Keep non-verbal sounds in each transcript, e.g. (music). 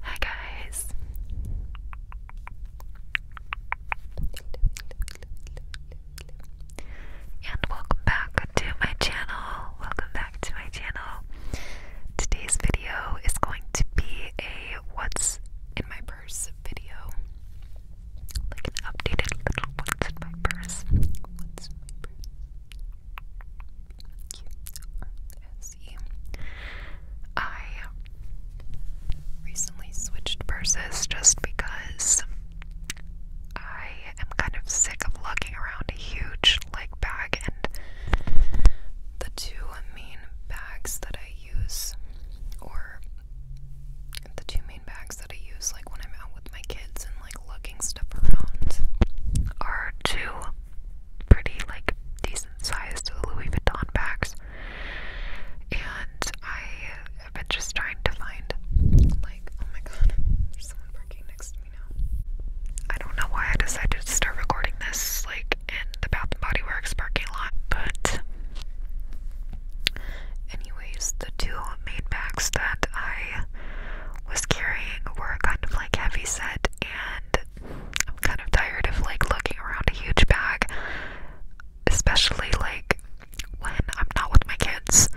Hi guys. And welcome back to my channel. Welcome back to my channel. Today's video is going to be a what's in my purse video. Like an updated little what's in my purse see. I recently switched purses just because I am kind of sick of lugging around a huge like bag and the two main bags that I use or the two main bags that I use like when I'm out with my kids and like lugging stuff around are two pretty like decent sized Louis Vuitton bags. And I have been just trying to find oh my god, there's someone parking next to me now. I don't know why I decided to start recording this like in the Bath and Body Works parking lot, but anyways, the two main bags that I was carrying were kind of like heavy set and I'm kind of tired of like looking around a huge bag, especially like when I'm not with my kids.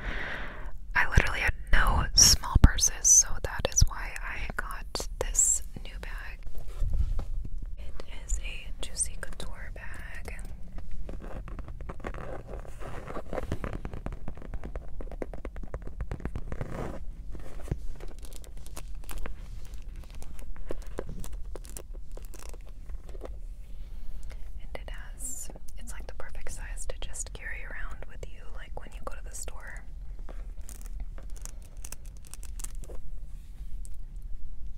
I literally had no small purses, so that is why I got this new bag. It is a Juicy Couture bag. And it has, it's like the perfect size to just carry around with you, like when you go to the store.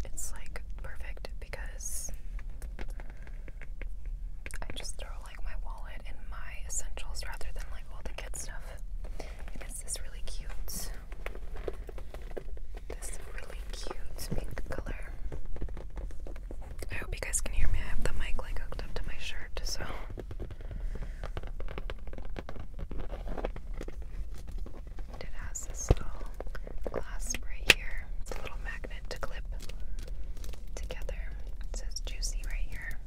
It's like perfect because I just throw like my wallet and my essentials rather than like all the kid stuff it's this really cute, this really cute pink color. I hope you guys can hear me. I have the mic like hooked up to my shirt, so. It has this little clasp right here. It's a little magnet to clip together. It says juicy right here.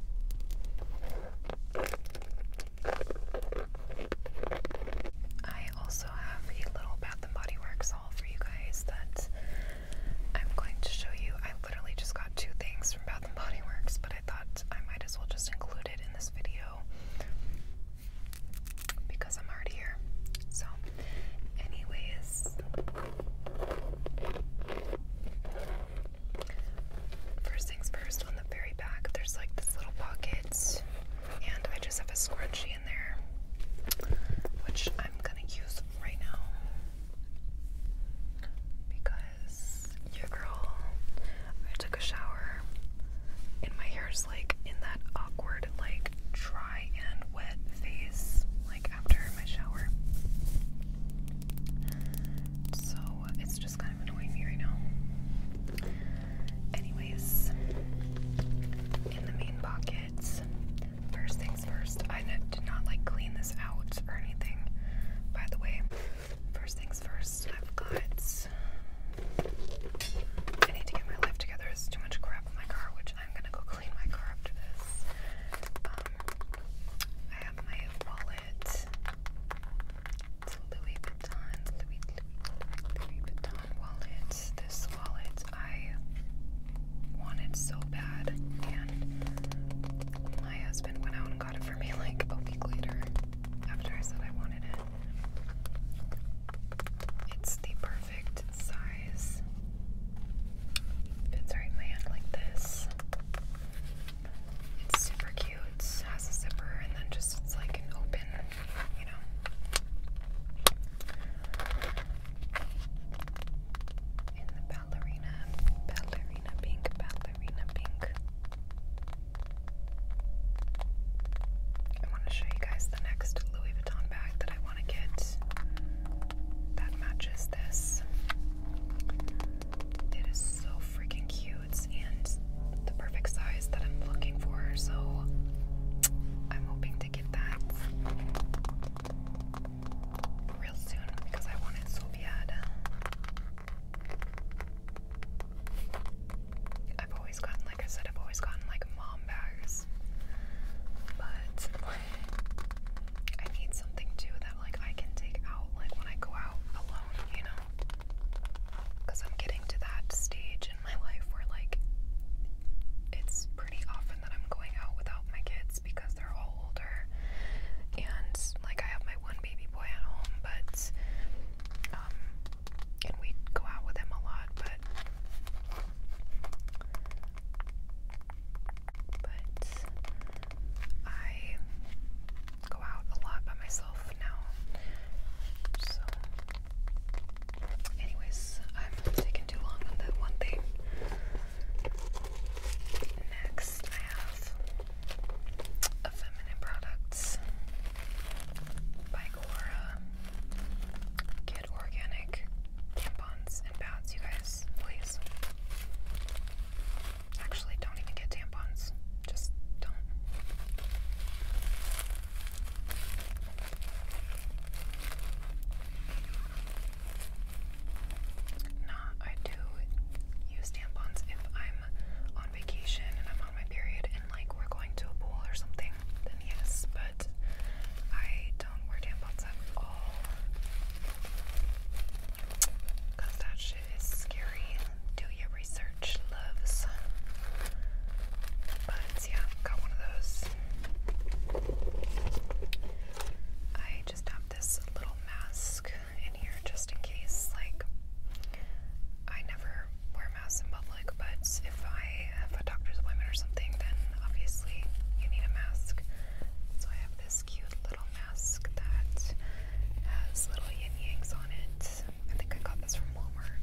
I also have a little Bath and Body Works haul for you guys that I'm going to show you. I literally just got two things from Bath and Body Works, but I thought I might as well just include it in this video because I'm already here. So, anyways first things first, on the very back, there's like this little pocket, and I just have a scrunchie in there, which I'm gonna use right now because your girl, I took a shower, and my hair is like in that awkward, like dry and wet phase, like after my shower. So it's just annoying me right now. Anyways, in the main pockets, first things first, I did not like clean this out or anything, by the way. First things first, I've got. I need to get my life together. There's too much crap in my car, which I'm gonna go clean my car after this. Um, I have my wallet. It's Louis Vuitton, Louis Vuitton wallet. This wallet I wanted so bad, and my husband went out and got it for me (laughs) like a week later after I said I wanted it. It's the perfect size. Fits right in my hand like this. It's super cute. It has a zipper and then just it's like an open, you know. In the ballerina, ballerina pink, ballerina pink. I want to show you guys the next Louis Vuitton bag that I want to get that matches this. It is so freaking cute foods the perfect size that I'm looking for, so I'm hoping to get that real soon because I want it I've always gotten, like I said, I've always gotten like mom bags, but I need something too that like I can take out like when I go out alone, you know. Because I'm getting to that stage in my life where, like, it's pretty often that I'm going out without my kids because they're all older. And, like, I have my one baby boy at home, but, um, and we go out with him a lot, but, but I go out a lot by myself now. So, anyways, I'm taking too long on that one thing. Next, I have Feminine Products by Gora. Get organic tampons and pads, you guys, please. Actually, don't even get tampons. Just don't. Nah, I do use tampons if I'm on vacation and I'm on my period and like we're going to a pool or something, then yes, but I don't wear tampons at all. Cause that shit is scary. Do your research, loves. But yeah, got one of those. I just have this little mask in here just in case. Like, I never wear masks in public, but if I have a doctor's appointment or something, then obviously you need a mask. So I have this cute little mask that has little yin yangs on it. I think I got this from Walmart.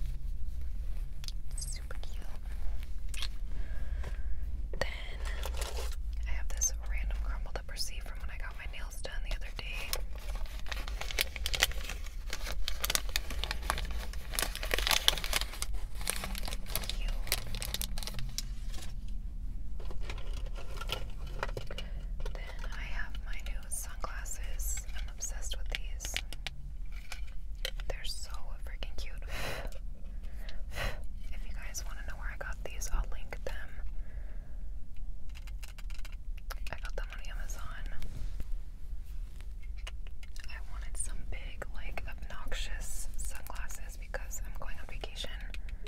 It's super cute. Then I have this random crumbled up receipt from when I got my nails done the other day. Cute. Then I have my new sunglasses. I'm obsessed with these. They're so freaking cute. If you guys want to know where I got these, I'll link them. I got them on Amazon. I wanted some big, like, obnoxious sunglasses because I'm going on vacation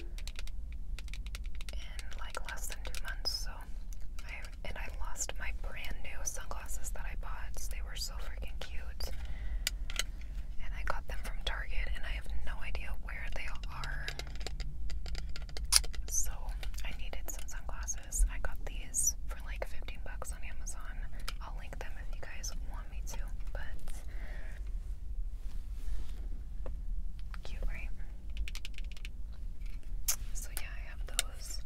in like less than two months, so I and I lost my brand new sunglasses that I bought. They were so freaking cute. And I got them from Target and I have no idea where they are. So I needed some sunglasses. I got these for like 15 bucks on Amazon. I'll link them if you guys want me to, but cute, right? So yeah, I have those.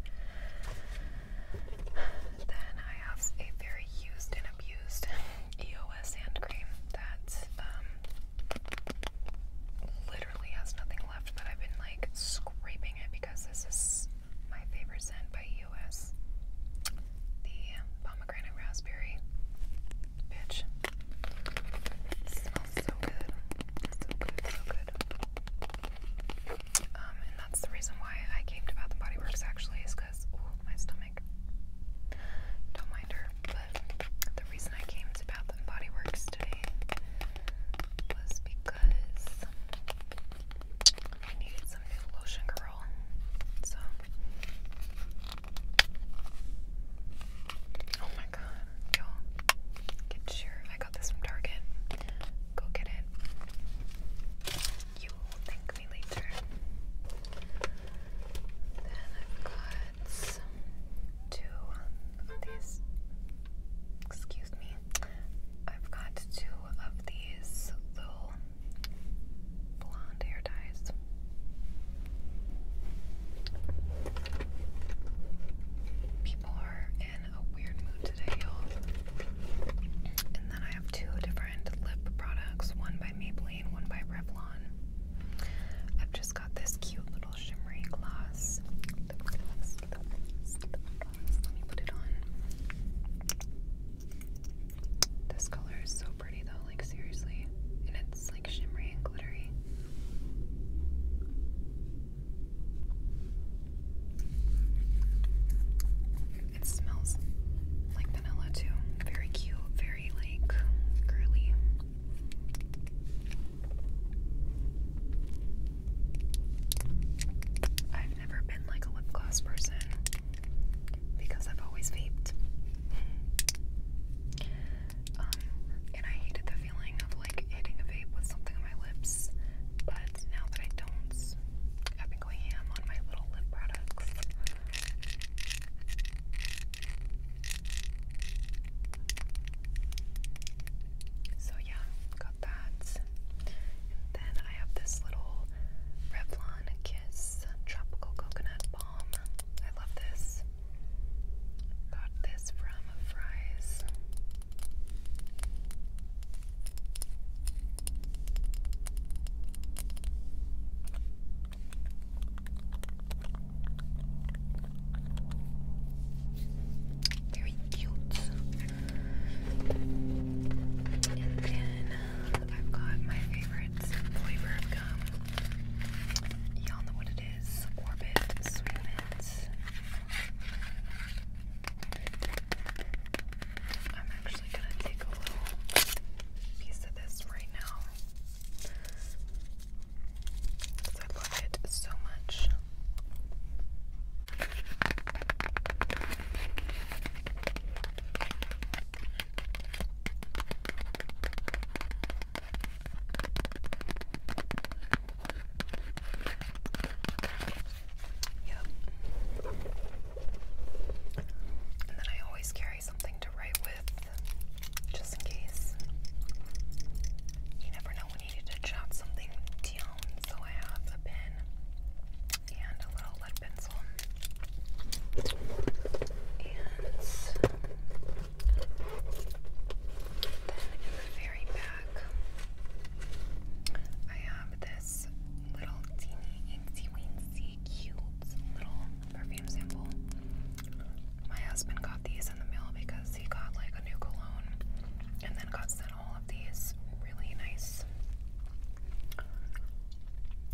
Then I have a very used and abused EOS hand cream that um, literally has nothing left, but I've been like scraping it because this is my favorite scent by EOS. The pomegranate raspberry. Bitch, it smells so good. So good, so good. Um, and that's the reason why I came to Bath and Body Works actually is because, ooh, my stomach. Don't mind her. But the reason I came to Bath and Body Works today was because I needed some new lotion, girl. So Oh my god, you Get sure. I got this from Target. Go get it. You will thank me later. Then I've got two of these. Excuse me. I've got two of these little blonde hair ties. People are in a weird mood today, y'all. And then I have two different lip products one by Maybelline, one by Revlon. I've just got this cute little shimmery gloss. Let me put it on. This color is so pretty, though, like, seriously. And it's it's shimmery and glittery. It smells like vanilla too. Very cute, very like girly. I've never been like a lip gloss person because I've always vaped. (laughs) Um, and I hated the feeling of like hitting a vape with something on my lips, but now that I don't, I've been going ham on my little lip products. So yeah, got that. then I have this little Revlon Kiss Tropical Coconut Balm. I love this. Got this from a fries. Very cute. And then I've got my favorite flavor of gum. Y'all know what it is. Orbit, Swimit. I'm actually gonna take a little piece of this right now. Because I love it so much. Yep. And then I always carry something to write with, just in case. You never know when you need to jot something down, so I have a pen and a little lead pencil. And then in the very back, I have this little teeny incy cute little perfume sample. My husband got these in the mail because he got like a new cologne and then got sent all of these really nice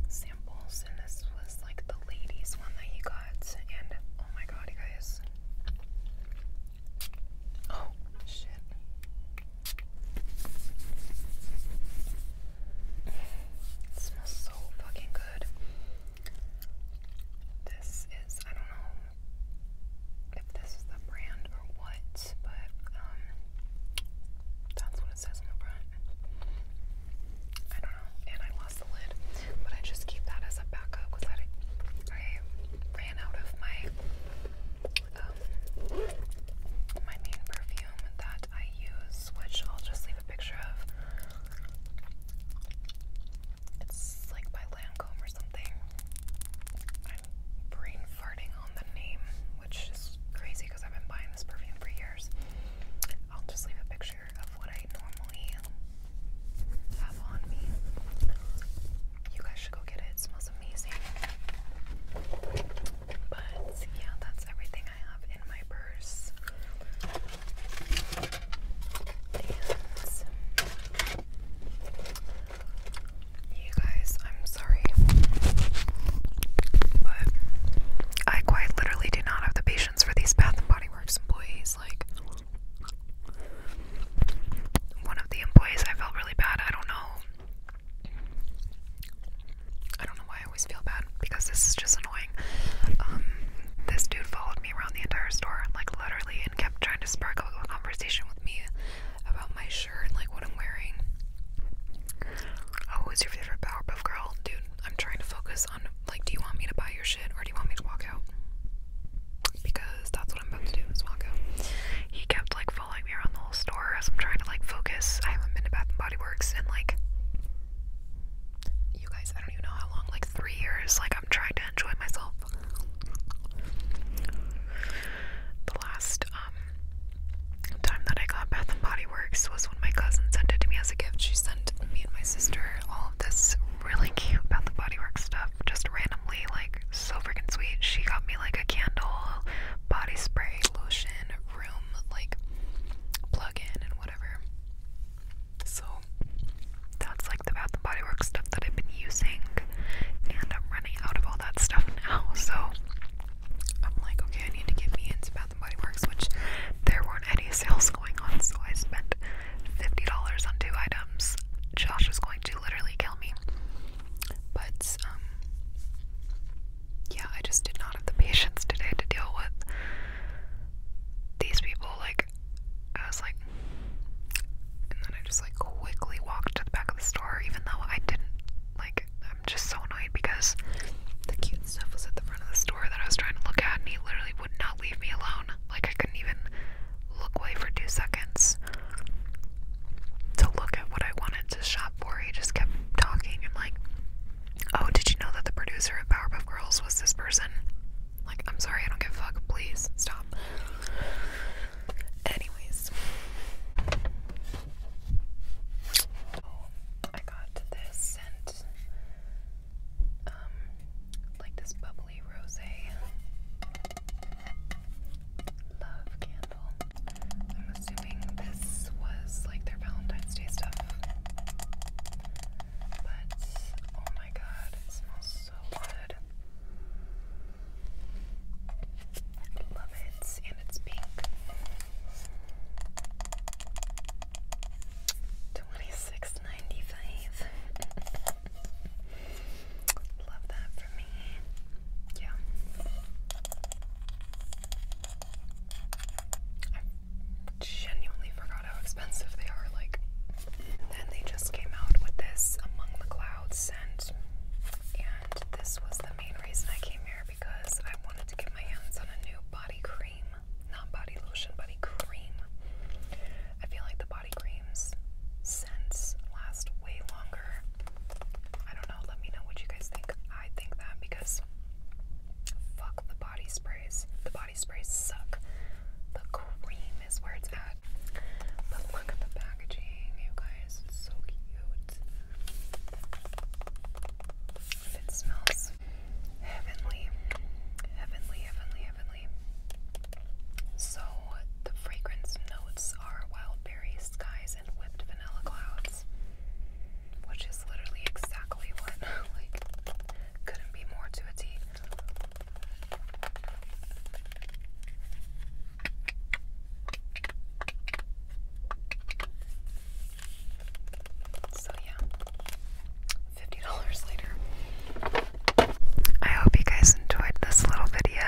samples. And this was like the ladies one that he got. And oh my god, you guys, Oh, shit. It smells so fucking good. This is, I don't know if this is the brand or what, but um, that's what it says on the front. I and I lost the lid. But I just keep that as a backup because I, ran out of my um, my main perfume that I use, which I'll just leave a picture of. It's like by Lancome or something. brain farting on the name, which is crazy because I've been buying this perfume for years. I'll just leave a picture I You guys should go get it. It smells amazing. But yeah, that's everything I have in my purse. you guys, I'm sorry, but I quite literally do not have the patience for these Bath and Body Works employees. Like, one of the employees I felt really bad. I don't know. I don't know why I always feel bad because this is just annoying. Um, this dude followed me around the entire store, like literally, and kept trying to spark a conversation with me about my shirt and like what I'm wearing. Oh, who's your favorite Powerpuff Girl? Dude, I'm trying to focus on like, do you want me to buy your shit or do you want me to walk out? because that's what I'm about to do is walk He kept like following me around the whole store as I'm trying to like focus. I haven't been to Bath and Body Works in like you guys, I don't even know how long, like three years. Like I'm trying to enjoy myself. The last um, time that I got Bath and Body Works was when my cousin sent it to me as a gift. She sent me and my sister all of this really cute about the bodywork stuff, just randomly, like so freaking sweet. She got me like a candle, body spray, lotion, room, like plug in, and whatever. So that's like the Bath and Body Works stuff that I've been using, and I'm running out of all that stuff now. (laughs) So I'm like, okay, I need to get me into Bath and Body Works, which there weren't any sales going on, so I spent $50 on two items. Josh is going to literally kill me. But, um, yeah, I just did not have the (laughs) patience today to deal with these people. Like, I was like, and then I just like quickly walked to the back of the store, even though I didn't. Like, I'm just so annoyed because the cute stuff was at the front of the store that I was trying to look at, and he literally would not leave me alone. Like I couldn't even look away for two seconds to look at what I wanted to shop for. He just kept talking and like, oh, did you know that the producer of Powerpuff Girls was this person? Like, I'm sorry, I don't give fuck. Please stop. Anyways, oh, I got this scent, um, like this bubble Holy Love Candle. I'm assuming this was like their Valentine's Day stuff. But oh my god, it smells so good. I love it, and it's pink. 26 95. Love that for me. Yeah. I genuinely forgot how expensive they are. Like, then they just came out with this Among the Clouds scent, and this was the main reason I came here because I wanted to get my hands on a new body cream not body lotion, body cream. I feel like the body creams scents last way longer. I don't know, let me know what you guys think. I think that because fuck the body sprays. The body sprays suck. The cream is where it's at. But look at the packaging, you guys. It's so cute. it smells heavenly. Heavenly, heavenly, heavenly. So, the fragrance notes are wild berry skies and whipped vanilla clouds, which is literally exactly what, (laughs) like, couldn't be more to a T. So, yeah, $50 later. I hope you guys enjoyed this little video.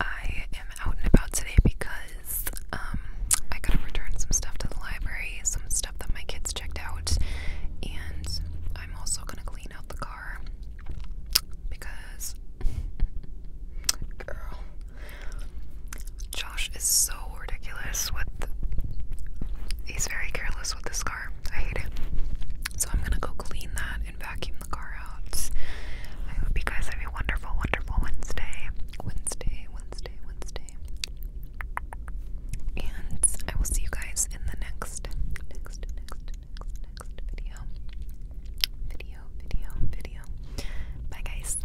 I am out and about today because um, I gotta return some stuff to the library, some stuff that my kids checked out, and I'm also gonna clean out the car because, (laughs) girl, Josh is so ridiculous with. He's very careless with this car. I hate him. So I'm gonna go clean that and vacuum the car out. I hope you guys have a wonderful, wonderful Wednesday. Wednesday, Wednesday, Wednesday. And I will see you guys in the next, next, next, next video. Video, video, video. Bye, guys.